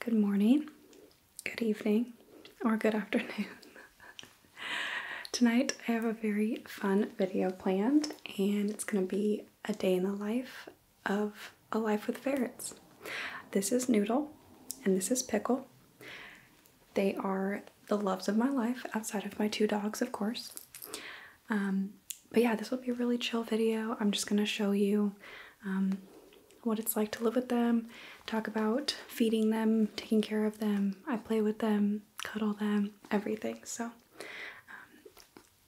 Good morning, good evening, or good afternoon. Tonight I have a very fun video planned, and it's going to be a day in the life of a life with ferrets. This is Noodle, and this is Pickle. They are the loves of my life, outside of my two dogs, of course. Um, but yeah, this will be a really chill video. I'm just going to show you um, what it's like to live with them, talk about feeding them, taking care of them. I play with them, cuddle them, everything. So um,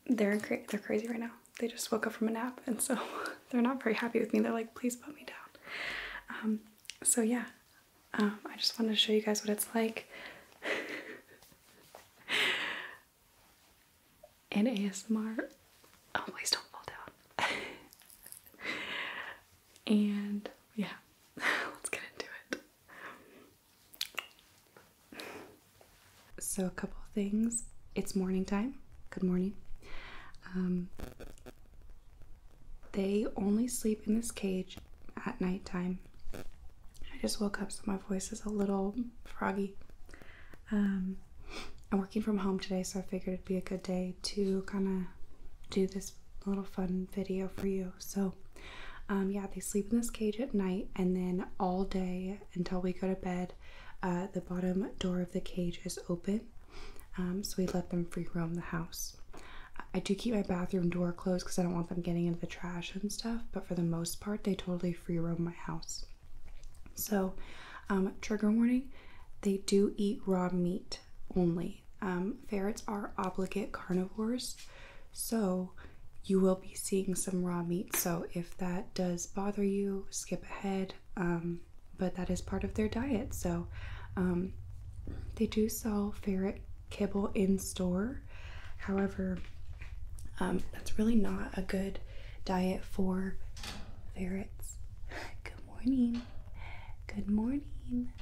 they're cra they're crazy right now. They just woke up from a nap, and so they're not very happy with me. They're like, "Please put me down." Um, so yeah, um, I just wanted to show you guys what it's like. in ASMR. Oh, please don't fall down. and yeah, let's get into it. So, a couple things. It's morning time. Good morning. Um, they only sleep in this cage at nighttime. I just woke up, so my voice is a little froggy. Um, I'm working from home today, so I figured it'd be a good day to kind of do this little fun video for you. So, um, yeah, they sleep in this cage at night, and then all day until we go to bed, uh, the bottom door of the cage is open. Um, so we let them free roam the house. I do keep my bathroom door closed because I don't want them getting into the trash and stuff, but for the most part, they totally free roam my house. So, um, trigger warning they do eat raw meat only. Um, ferrets are obligate carnivores, so you will be seeing some raw meat. So, if that does bother you, skip ahead. Um, but that is part of their diet. So, they do sell ferret kibble in store. However, that's really not a good diet for ferrets. Good morning. Good morning.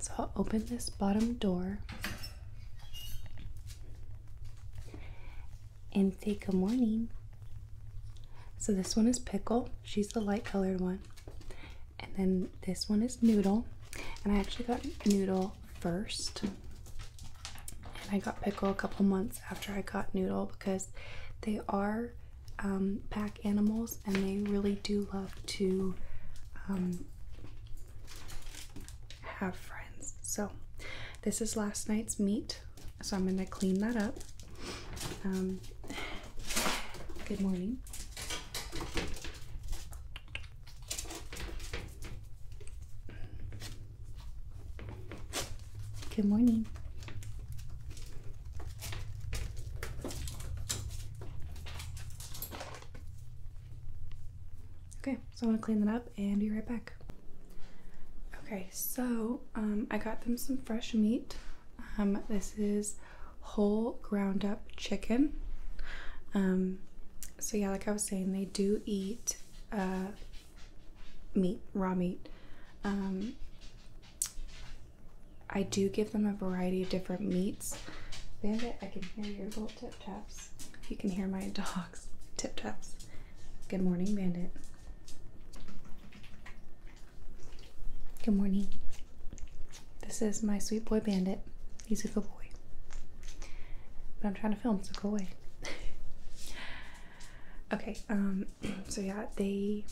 So open this bottom door and say good morning. So this one is Pickle. She's the light colored one. And then this one is Noodle. And I actually got Noodle first. And I got pickle a couple months after I got noodle because they are um, pack animals and they really do love to um, have friends. So, this is last night's meat. So, I'm going to clean that up. Um, good morning. Good morning. Okay, so I'm gonna clean that up and be right back. Okay, so um, I got them some fresh meat. Um, this is whole ground up chicken. Um, so yeah, like I was saying, they do eat uh, meat, raw meat. Um, I do give them a variety of different meats. Bandit, I can hear your little tip taps. You can hear my dog's tip taps. Good morning, Bandit. Good morning. This is my sweet boy Bandit. He's a good boy. But I'm trying to film, so go away. okay, um, so yeah, they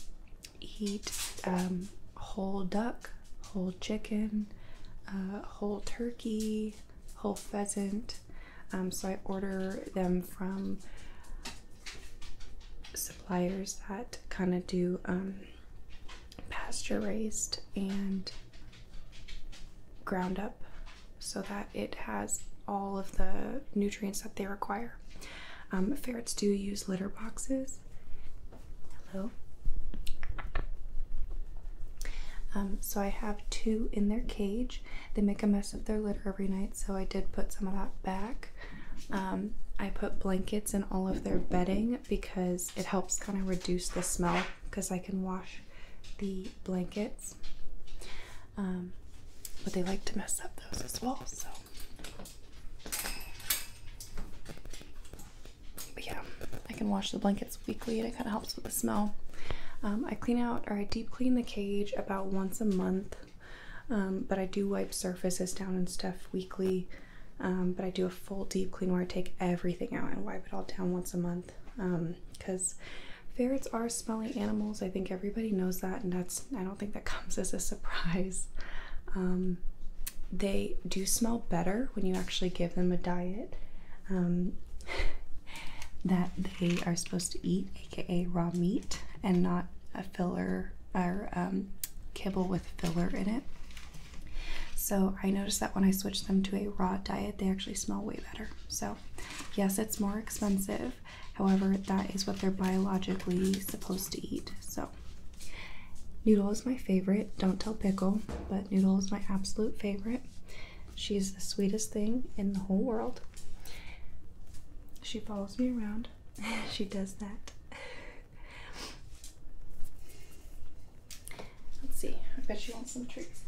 eat um, whole duck, whole chicken, uh, whole turkey, whole pheasant. Um, so I order them from suppliers that kind of do pasture raised and ground up so that it has all of the nutrients that they require. Um, ferrets do use litter boxes. Hello. Um, so I have two in their cage. They make a mess of their litter every night, so I did put some of that back. Um, I put blankets in all of their bedding because it helps kind of reduce the smell because I can wash the blankets walls. Um, but they like to mess up those as well, so. yeah, I can wash the blankets weekly and it kind of helps with the smell. Um, I clean out or I deep clean the cage about once a month, um, but I do wipe surfaces down and stuff weekly. but I do a full deep clean where I take everything out and wipe it all down once a month because Ferrets are smelling animals. I think everybody knows that, and that's I don't think that comes as a surprise. Um, they do smell better when you actually give them a diet um, that they are supposed to eat, aka raw meat, and not a filler or um, kibble with filler in it. So I noticed that when I switched them to a raw diet, they actually smell way better. So, yes, it's more expensive. However, that is what they're biologically supposed to eat. So, Noodle is my favorite. Don't tell Pickle, but Noodle is my absolute favorite. She's the sweetest thing in the whole world. She follows me around. she does that. Let's see. I bet she wants some treats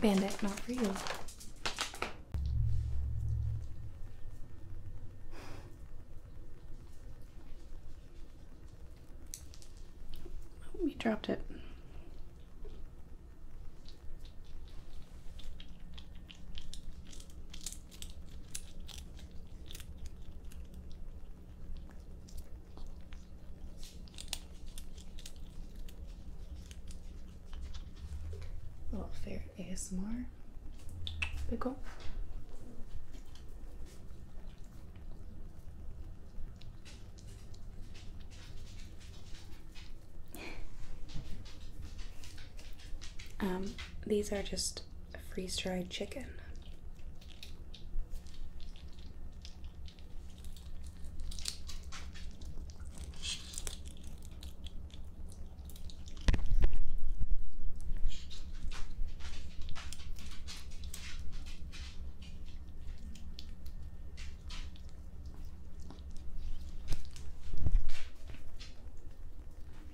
Bandit, not for you. We oh, dropped it. Little fair ASMR pickle. Um, these are just freeze dried chicken.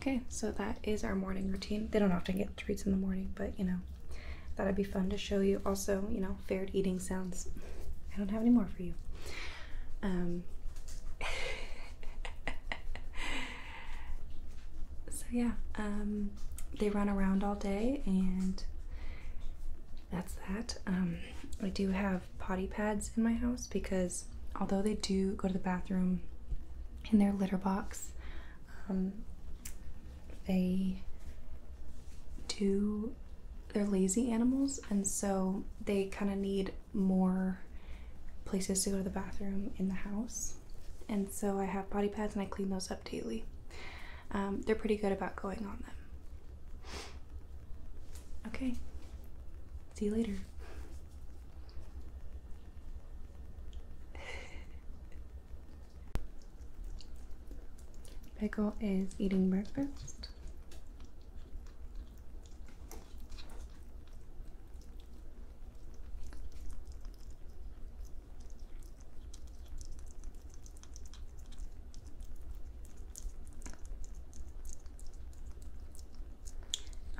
Okay, so that is our morning routine. They don't often get treats in the morning, but you know, thought it'd be fun to show you. Also, you know, favorite eating sounds. I don't have any more for you. Um, so yeah, um, they run around all day and that's that. Um, I do have potty pads in my house because although they do go to the bathroom in their litter box, um, they do, they're lazy animals and so they kind of need more places to go to the bathroom in the house. And so I have potty pads and I clean those up daily. Um, they're pretty good about going on them. Okay, see you later. Pickle is eating breakfast.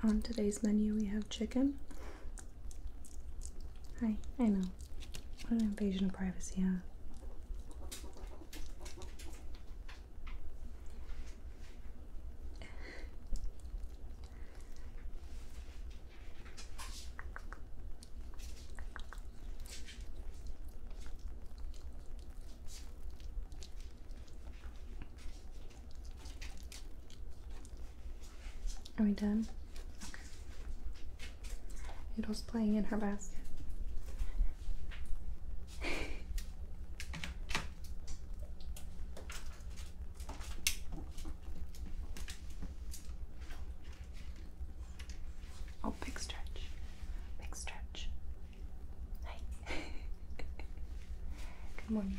On today's menu, we have chicken. Hi, I know. What an invasion of privacy, huh? Are we done? Okay. Noodle's playing in her basket. Oh, big stretch. Big stretch. Hi. Good morning.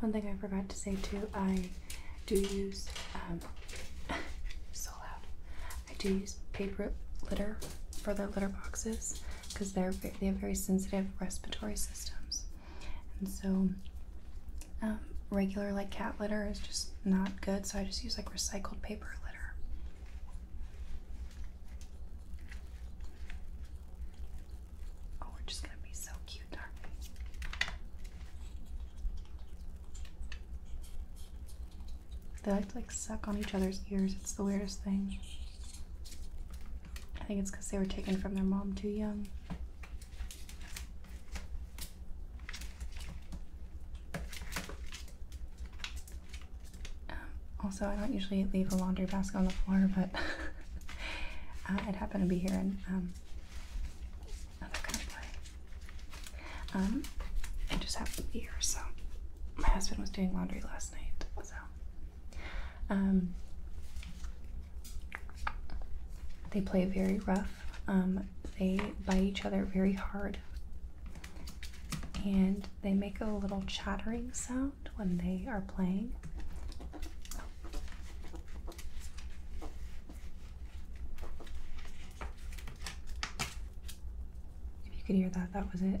One thing I forgot to say too, I do use, um, so loud, I do use paper litter for their litter boxes because they're they have very sensitive respiratory systems and so um, regular like cat litter is just not good so I just use like recycled paper litter oh we're just gonna be so cute are they like to like suck on each other's ears it's the weirdest thing I think it's because they were taken from their mom too young. Um, also, I don't usually leave a laundry basket on the floor, but uh, it happened to be here and um, another kind of play. Um, it just happened to be here, so my husband was doing laundry last night, so. Um, they play very rough. Um, they bite each other very hard. And they make a little chattering sound when they are playing. If you could hear that, that was it.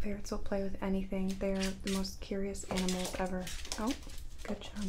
Ferrets will play with anything. They are the most curious animals ever. Oh, good job.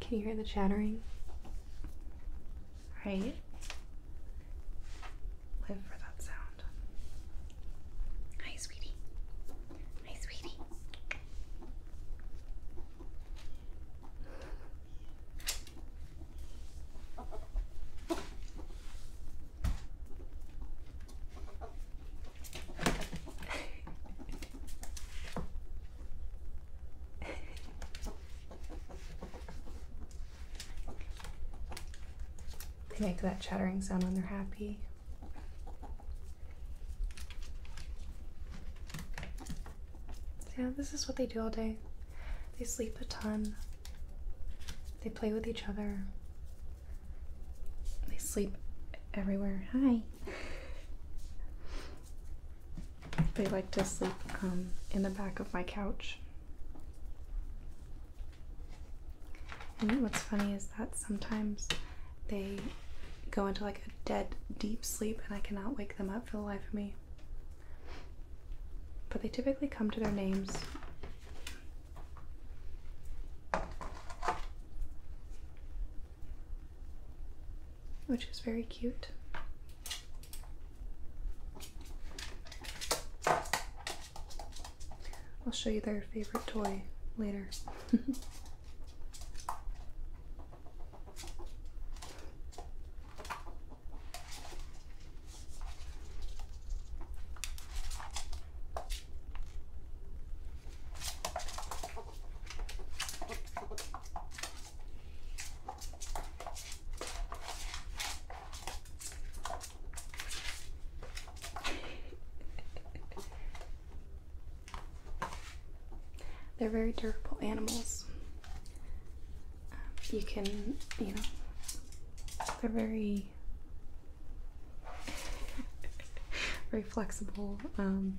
Can you hear the chattering? Right? Live for that sound. Hi, sweetie. Hi, sweetie they make that chattering sound when they're happy. Yeah, this is what they do all day. They sleep a ton. They play with each other. They sleep everywhere. Hi. They like to sleep um, in the back of my couch. And what's funny is that sometimes they go into like a dead, deep sleep, and I cannot wake them up for the life of me. But they typically come to their names which is very cute. I'll show you their favorite toy later. They're very durable animals. you can, you know, they're very, very flexible. Um,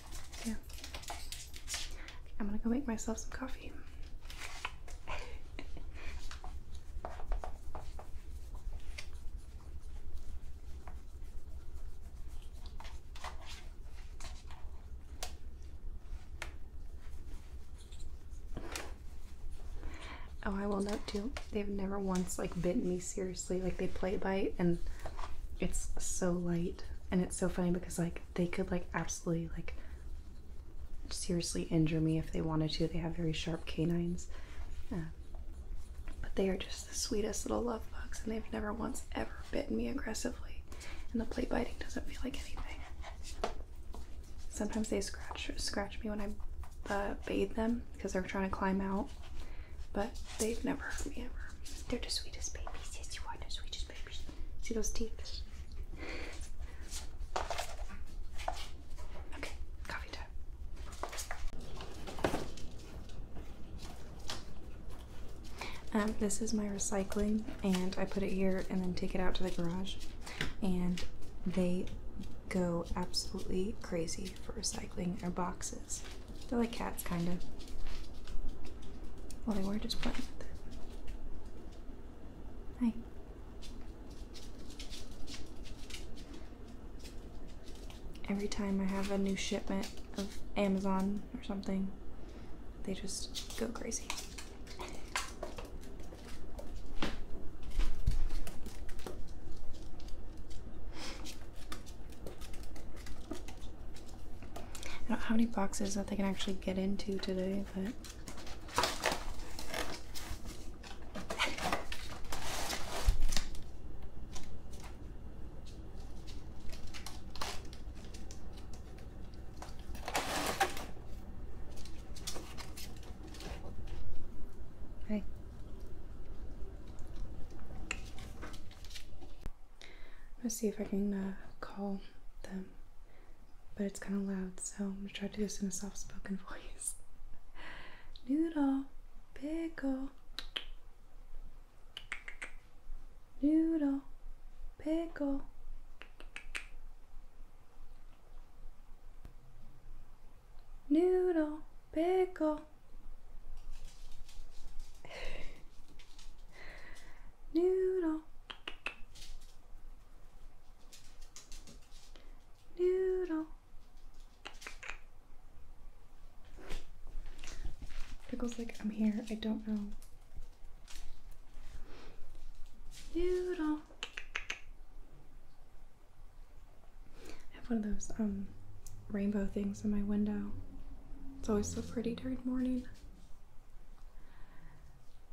So I'm gonna go make myself some coffee. oh, I will not do. they've never once like bitten me seriously. Like they play bite and it's so light and it's so funny because like they could like absolutely like seriously injure me if they wanted to. They have very sharp canines. but they are just the sweetest little love bugs and they've never once ever bitten me aggressively. And the play biting doesn't feel like anything. Sometimes they scratch scratch me when I uh, bathe them because they're trying to climb out. But they've never hurt me ever. They're the sweetest babies. Yes, you are the sweetest babies. See those teeth? Okay, coffee time. Um, this is my recycling, and I put it here and then take it out to the garage. And they go absolutely crazy for recycling their boxes. They're like cats, kind of. Well, they were just playing with it. Hi. Every time I have a new shipment of Amazon or something, they just go crazy. I don't know how many boxes that they can actually get into today, but. Hey. Let's see if I can uh, call them, but it's kind of loud, so I'm gonna try to do this in a soft spoken voice. Noodle, pickle, noodle, pickle. Noodle, pickle. noodle, noodle. Pickle's like, I'm here, I don't know. Noodle. I have one of those um rainbow things in my window. It's always so pretty during morning.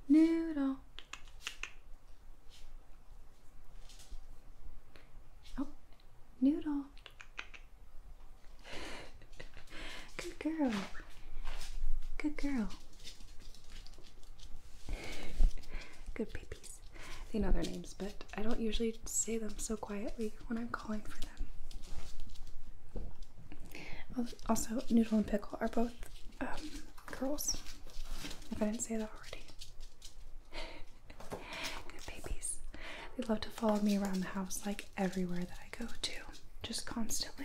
Noodle. Oh, noodle. Good girl. Good girl. Good babies. They know their names, but I don't usually say them so quietly when I'm calling for also, noodle and pickle are both um, girls. If I didn't say that already. Good babies. They love to follow me around the house, like everywhere that I go to, just constantly.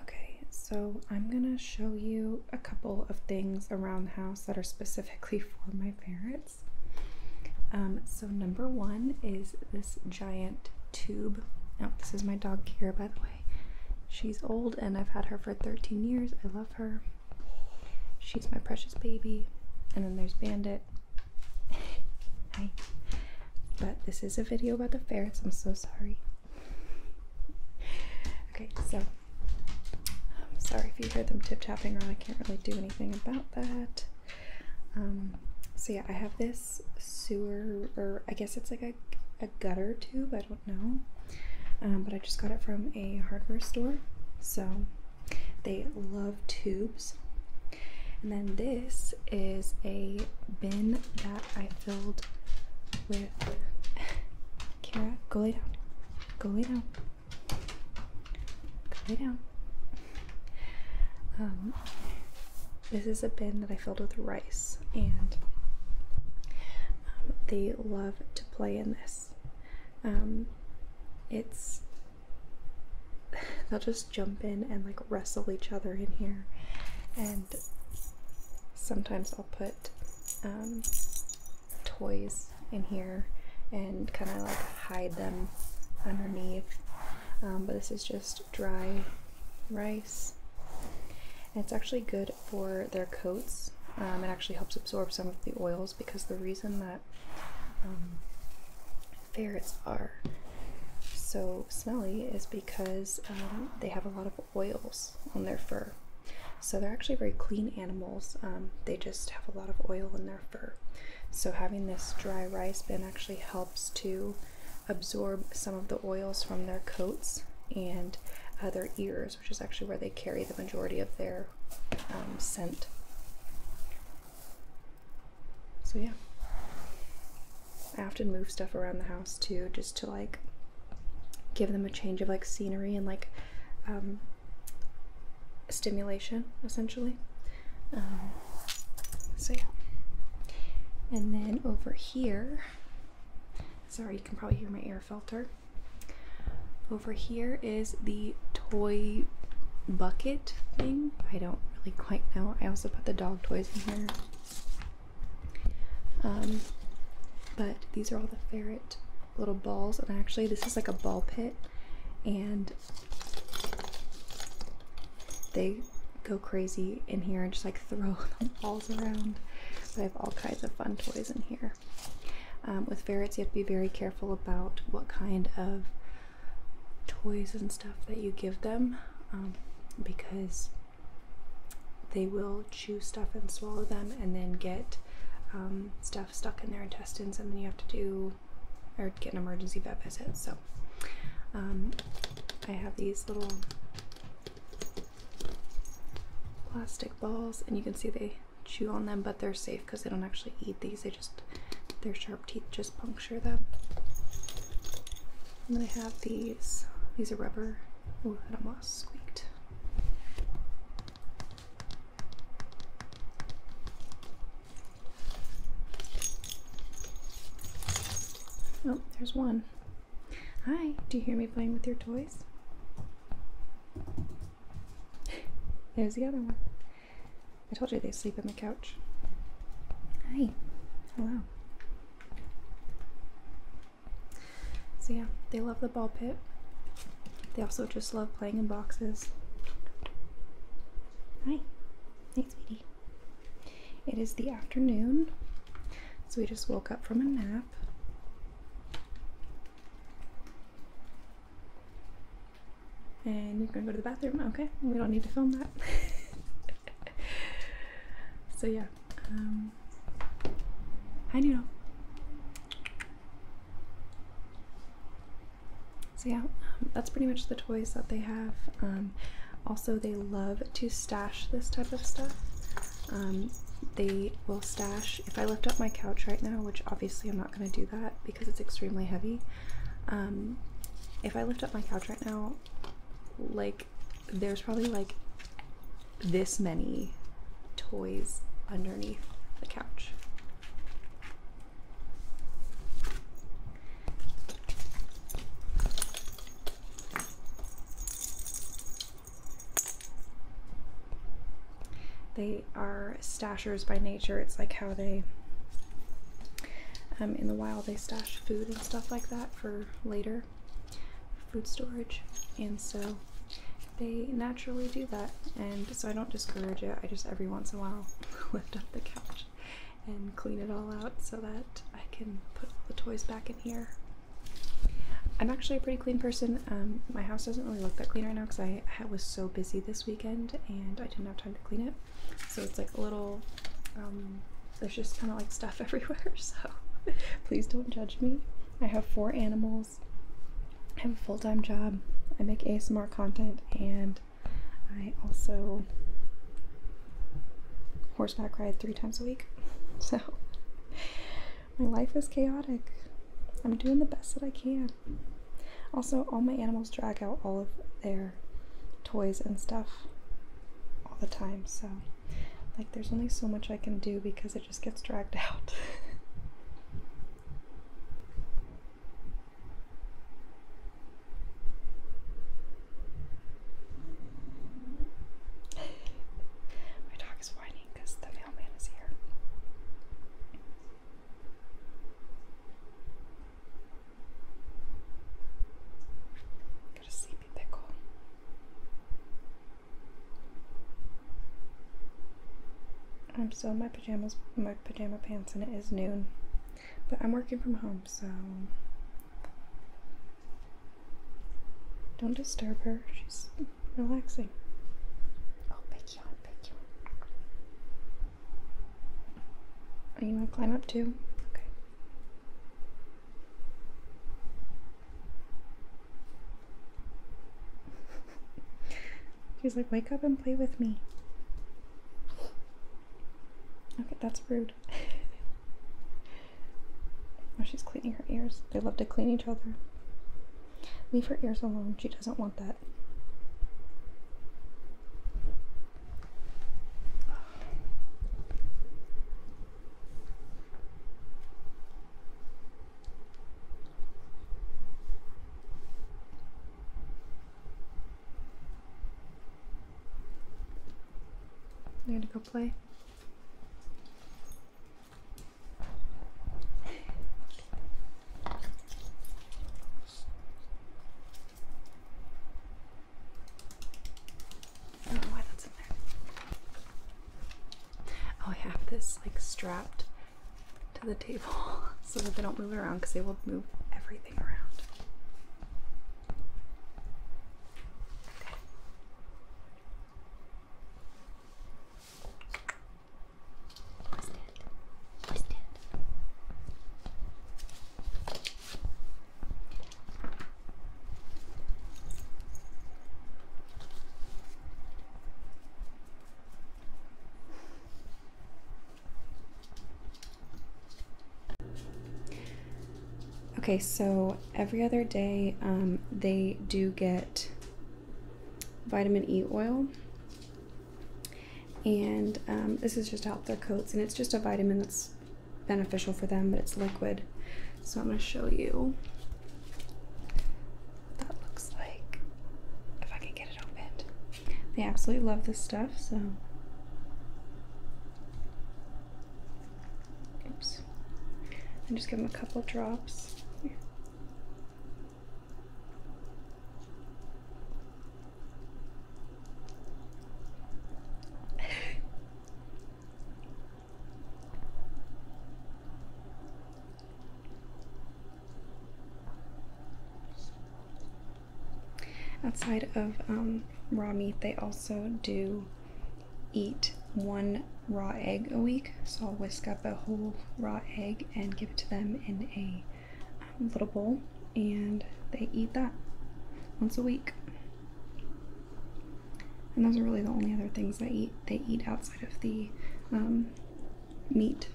okay, so I'm gonna show you a couple of things around the house that are specifically for my ferrets. Um, so, number one is this giant tube. Now, oh, this is my dog, Kira, by the way. She's old and I've had her for 13 years. I love her. She's my precious baby. And then there's Bandit. Hi. But this is a video about the ferrets. I'm so sorry. Okay, so I'm sorry if you hear them tip tapping around. I can't really do anything about that. Um, so yeah, I have this sewer, or I guess it's like a, a gutter tube. I don't know. Um, but I just got it from a hardware store. So they love tubes. And then this is a bin that I filled with. go lay down. Go lay down. Go lay down. Um, this is a bin that I filled with rice, and um, they love to play in this. Um, it's they'll just jump in and like wrestle each other in here, and sometimes I'll put um, toys in here and kind of like hide them underneath. Um, but this is just dry rice, and it's actually good for their coats. Um, it actually helps absorb some of the oils because the reason that um, ferrets are so smelly is because um, they have a lot of oils on their fur. So they're actually very clean animals. they just have a lot of oil in their fur. So having this dry rice bin actually helps to absorb some of the oils from their coats and uh, their ears which is actually where they carry the majority of their um, scent. So, yeah. I often move stuff around the house too, just to like give them a change of like scenery and like um, stimulation, essentially. Um, so, yeah. And then over here, sorry, you can probably hear my air filter. Over here is the toy bucket thing. I don't really quite know. I also put the dog toys in here. Um, but these are all the ferret little balls, and actually, this is like a ball pit, and they go crazy in here and just like throw the balls around. But I have all kinds of fun toys in here. Um, with ferrets, you have to be very careful about what kind of toys and stuff that you give them um, because they will chew stuff and swallow them and then get um, stuff stuck in their intestines, and then you have to do or get an emergency vet visit. So, I have these little plastic balls, and you can see they chew on them, but they're safe because they don't actually eat these. They just their sharp teeth just puncture them. And then I have these. These are rubber. Oh, that almost squeaked. Oh, there's one. Hi, do you hear me playing with your toys? There's the other one. I told you they sleep on the couch. Hi. Hello. So, yeah, they love the ball pit. They also just love playing in boxes. Hi. Hey, sweetie. It is the afternoon, so we just woke up from a nap. And you're gonna go to the bathroom, okay? We don't need to film that. so yeah. Um, hi Noodle. So yeah, um, that's pretty much the toys that they have. Um, also, they love to stash this type of stuff. Um, they will stash, if I lift up my couch right now, which obviously I'm not going to do that because it's extremely heavy. Um, if I lift up my couch right now, like there's probably like this many toys underneath the couch. They are stashers by nature. It's like how they, um, in the wild, they stash food and stuff like that for later, food storage. And so they naturally do that. And so I don't discourage it. I just every once in a while lift up the couch and clean it all out so that I can put the toys back in here. I'm actually a pretty clean person. Um, my house doesn't really look that clean right now because I was so busy this weekend and I didn't have time to clean it. So it's like a little, um, there's just kind of like stuff everywhere. So please don't judge me. I have four animals. I have a full time job. I make ASMR content and I also horseback ride three times a week. So my life is chaotic. I'm doing the best that I can. Also, all my animals drag out all of their toys and stuff all the time, so like there's only so much I can do because it just gets dragged out. My dog is because the mailman is here. Got a sleepy pickle. I'm um, still in my pajamas, my pajama pants, and it is noon. But I'm working from home, so don't disturb her. She's relaxing, relaxing. I'll pick you, i pick you. Are you gonna climb up too? Okay. She's like, wake up and play with me. Okay, that's rude. oh, she's cleaning her ears. They love to clean each other. Leave her ears alone. She doesn't want that. They're to go play. Oh, I have this like strapped to the table so that they don't move around because they will move everything around. Okay, so every other day um, they do get vitamin E oil. And um, this is just to help their coats, and it's just a vitamin that's beneficial for them, but it's liquid. So I'm going to show you that looks like if I can get it opened. They absolutely love this stuff, so. Oops. And just give them a couple drops. Outside of um, raw meat, they also do eat one raw egg a week. So I'll whisk up a whole raw egg and give it to them in a um, little bowl, and they eat that once a week. And those are really the only other things they eat. They eat outside of the um, meat.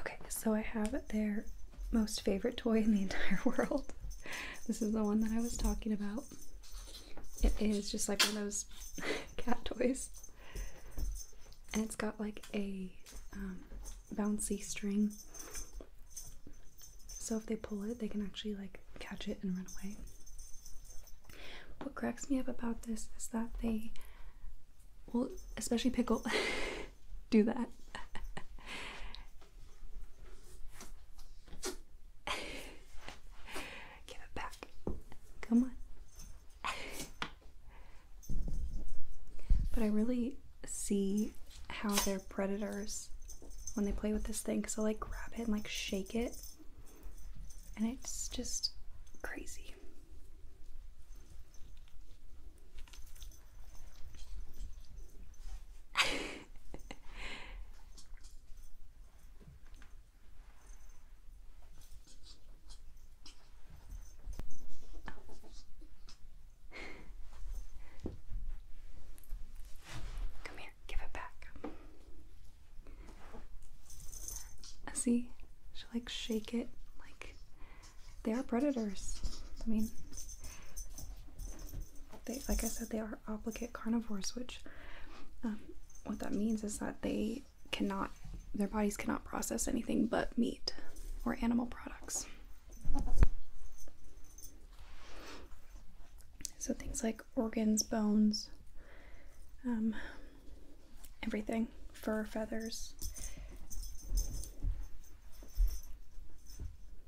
Okay, so I have their most favorite toy in the entire world. This is the one that I was talking about it is just like one of those cat toys. And it's got like a um, bouncy string. So if they pull it, they can actually like catch it and run away. What cracks me up about this is that they will, especially Pickle, do that. Give it back. Come on. but I really see how they're predators when they play with this thing because I'll like grab it and like shake it. And it's just crazy. Come here, give it back. Uh, see, she like shake it like they are predators. I mean, they like I said, they are are obligate carnivores, which um, what that means is that they cannot, their bodies cannot process anything but meat or animal products. So things like organs, bones, um, everything, fur, feathers.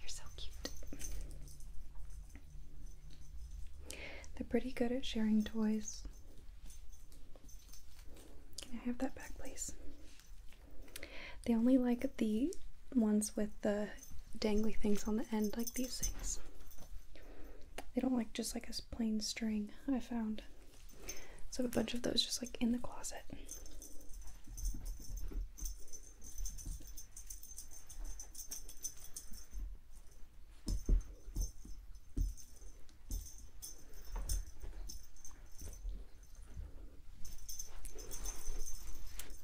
You're so cute. They're pretty good at sharing toys. Can I have that back, please? They only like the ones with the dangly things on the end, like these things. They don't like just like a plain string, I found. So I have a bunch of those just like in the closet.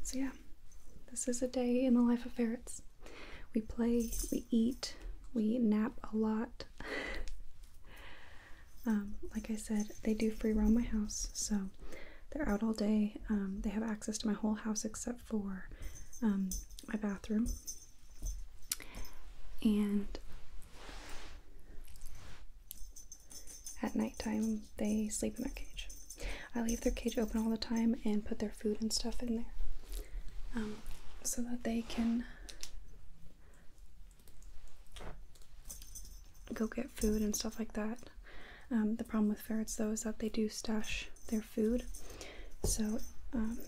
So, yeah, this is a day in the life of ferrets. We play, we eat, we nap a lot. Um, like I said, they do free roam my house, so they're out all day. Um, they have access to my whole house except for um, my bathroom. And at nighttime, they sleep in their cage. I leave their cage open all the time and put their food and stuff in there so that they can go get food and stuff like that. Um, the problem with ferrets though is that they do stash their food. So um,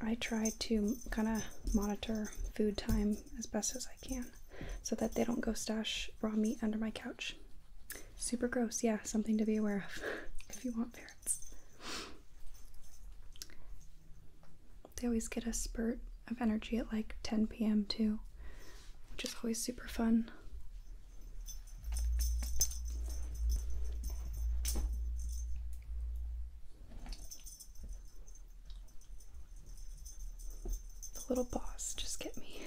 I try to kind of monitor food time as best as I can so that they don't go stash raw meat under my couch. Super gross, yeah, something to be aware of if you want ferrets. They always get a spurt of energy at like 10 p.m. too, which is always super fun. The little boss just get me.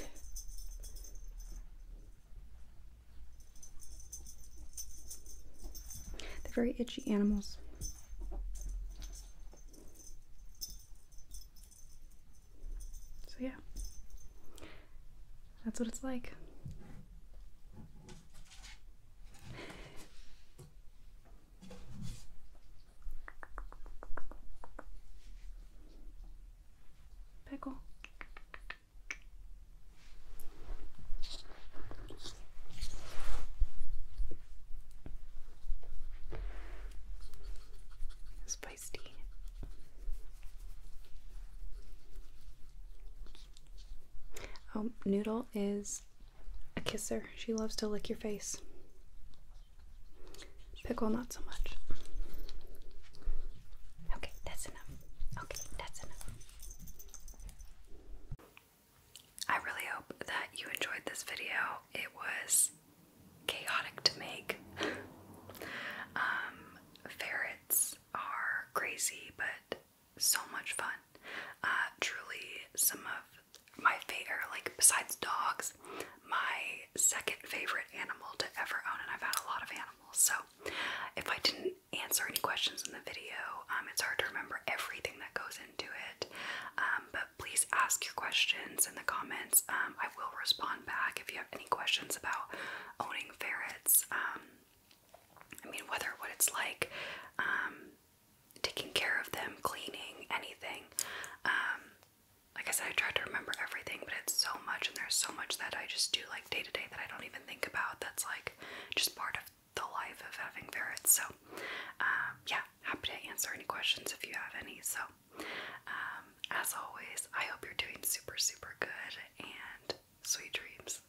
They're very itchy animals. So, yeah, that's what it's like. Pickle. Spicy. Oh, Noodle is a kisser. She loves to lick your face. Pickle, not so much. Okay, that's enough. Okay, that's enough. I really hope that you enjoyed this video. It was chaotic to make. Um, ferrets are crazy, but so much fun. Uh, truly, some of my favorite, like besides dogs, my second favorite animal to ever own, and I've had a lot of animals. So, if I didn't answer any questions in the video, um, it's hard to remember everything that goes into it. Um, but please ask your questions in the comments. Um, I will respond back if you have any questions about owning ferrets. Um, I mean, whether what it's like, um, taking care of them, cleaning, anything. like I said, I try to remember everything, but it's so much, and there's so much that I just do like day to day that I don't even think about. That's like just part of the life of having ferrets. So, uh, yeah, happy to answer any questions if you have any. So, um, as always, I hope you're doing super, super good and sweet dreams.